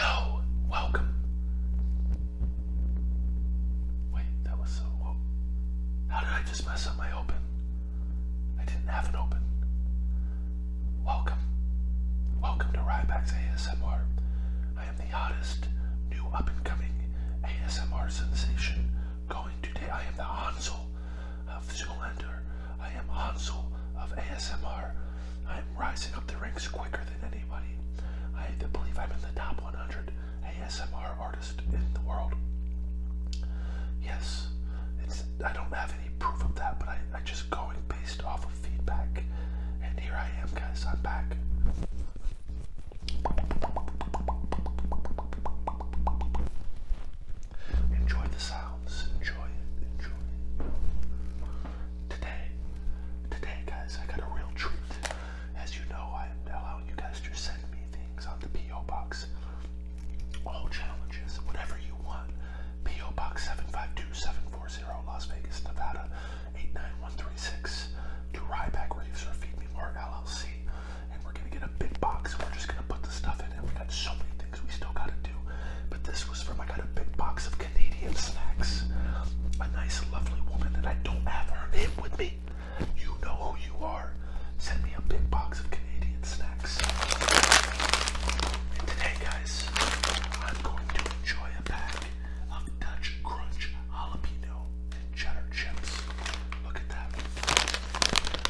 Hello, welcome. Wait, that was so. How did I just mess up my open? I didn't have an open. Welcome. Welcome to Ryback's ASMR. I am the hottest new up and coming ASMR sensation going today. I am the Hansel of Zoolander. I am Hansel of ASMR. I am rising up the ranks quicker than anybody. I believe I'm in the top 100 ASMR artist in the world. Yes, I don't have any proof of that, but I, just going based off of feedback. And here I am, guys, I'm back. Enjoy the sounds, enjoy it, enjoy it. Today, today, guys, I got a real treat. As you know, I'm allowing you guys to send me things on the P.O. box. All challenges, whatever you want. P.O. Box 752 Las Vegas, Nevada 89136 to Ryback Reefs Feed Me More LLC. And we're gonna get a big box. We're just gonna put the stuff in, we got so many things we still gotta do. But this was from I got a big box of Canadian snacks. A nice, lovely woman that I don't have her name with me. You know who you are. Send me a big box of Canadian snacks. And today, guys, I'm going to enjoy a pack of Dutch Crunch jalapeno cheddar chips. Look at that.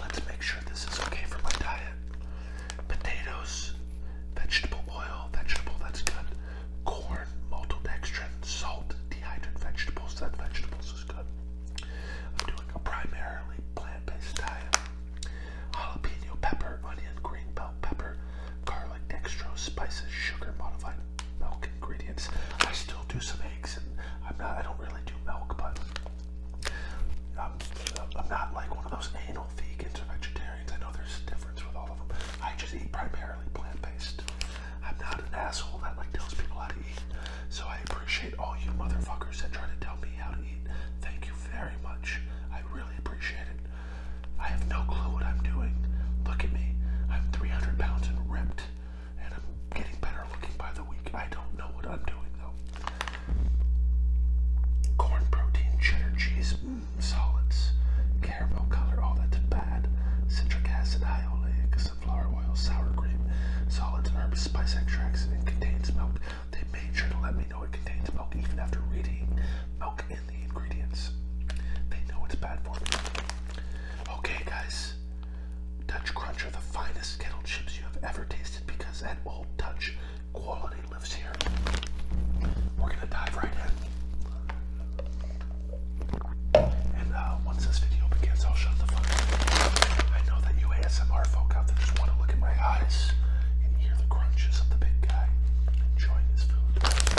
Let's make sure this is okay for my diet. Potatoes, vegetable oil, vegetable, that's good. Corn, maltodextrin, salt, dehydrated vegetables, that vegetables is good. I'm doing a primarily plant-based diet jalapeno pepper, onion, green bell pepper, garlic, dextrose, spices, sugar, modified milk ingredients. I still do some eggs, and I'm not. I don't really do milk, but I'm, um, uh, I'm not like one of those anal vegans or vegetarians. I know there's a difference with all of them. I just eat primarily plant-based. I'm not an asshole that like tells people how to eat. So I appreciate all you motherfuckers that try to tell me how to eat. Thank you very much. I really appreciate it. I have no clue what I'm doing. Look at me. I'm 300 pounds and ripped, and I'm getting better looking by the week. I don't know what I'm doing though. Corn protein, cheddar cheese, mm, solids, caramel color, all that's bad. Citric acid, high oleic, sunflower oil, sour cream, solids, herbs, spice extracts, and contains milk. They made sure to let me know it contains milk even after reading milk in the ingredients. They know it's bad for me. Okay, guys. Dutch Crunch are the finest kettle chips you have ever tasted because at Old Dutch, quality lives here. We're gonna dive right in. And uh, once this video begins, I'll shut the fuck up. I know that you ASMR folk out there just want to look at my eyes. You can hear the crunches of the big guy. Enjoy this food. Mm.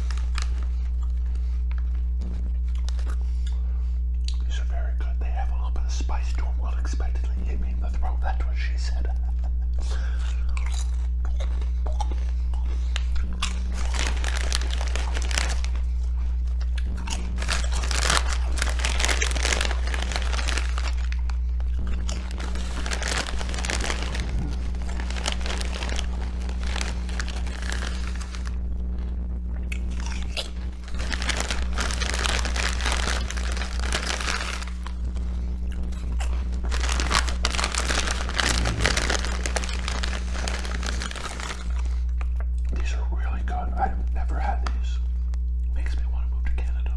These are very good. They have a little bit of spice to them. Unexpectedly hit me in the throat. That's what she said. These are really good. I've never had these. Makes me want to move to Canada.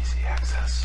Easy access.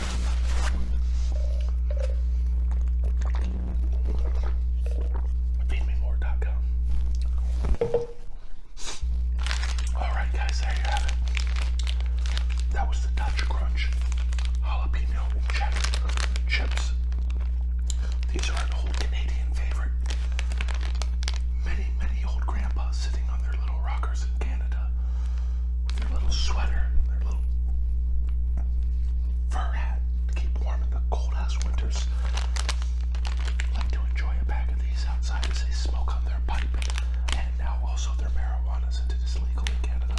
feedmemore.com. Alright, guys, there you have it. That was the Dutch Crunch jalapeno chips. These are an old Canadian favorite. Many, many old grandpas sitting on their little rockers in Canada with their little sweater, their little fur hat to keep warm in the cold ass winters. Like to enjoy a bag of these outside as they smoke on their pipe and now also their marijuana since it is legal in Canada.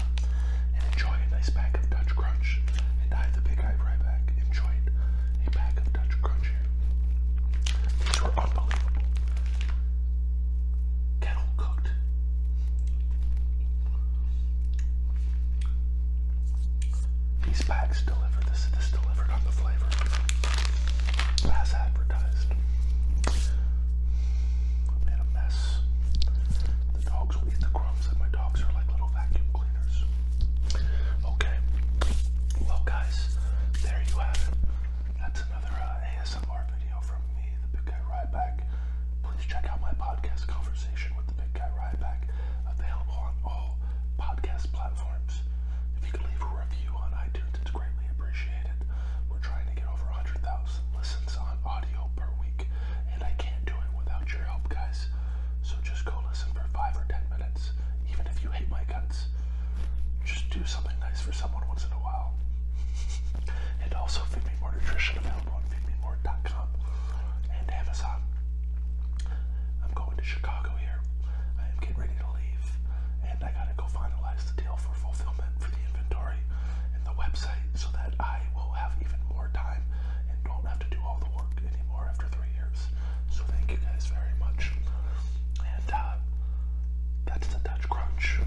And enjoy a nice bag of Dutch Crunch. And I, the big eye right back, enjoyed a bag of Dutch Crunch These were unbelievable kettle cooked. These bags deliver this. This delivered on the flavor, as advertised. I made a mess. The dogs will eat the crumbs, and my dogs are like little vacuum cleaners. Okay. Well, guys, there you have it. That's another uh, ASMR video from me me, the Big Guy Ryback, please check out my podcast, Conversation with the Big Guy Ryback, available on all podcast platforms. If you could leave a review on iTunes, it's greatly appreciated. We're trying to get over 100,000 listens on audio per week, and I can't do it without your help, guys. So just go listen for 5 or 10 minutes, even if you hate my guts just do something nice for someone once in a while. and also feed me more nutrition available on feedmemore.com and Amazon. I'm going to Chicago here. I am getting ready to leave, and I gotta go finalize the deal for fulfillment for the inventory and the website so that I will have even more time and don't have to do all the work anymore after three years. So, thank you guys very much and uh, that's the Dutch Crunch.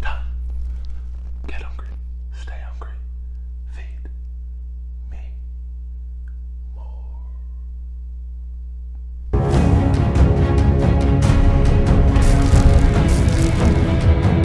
Done. Get hungry. Stay hungry. Feed me more.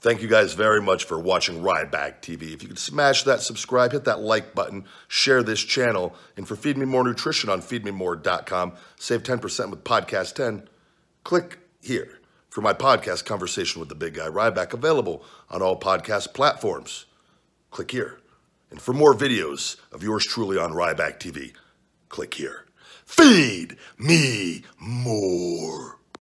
Thank you guys very much for watching Ride TV. If you could smash that subscribe, hit that like button, share this channel, and for Feed Me More Nutrition on feedmemore.com, save 10% with Podcast 10. Click here for my podcast conversation with the big guy Ryback, available on all podcast platforms. Click here. And for more videos of yours truly on Ryback TV, click here. Feed me more.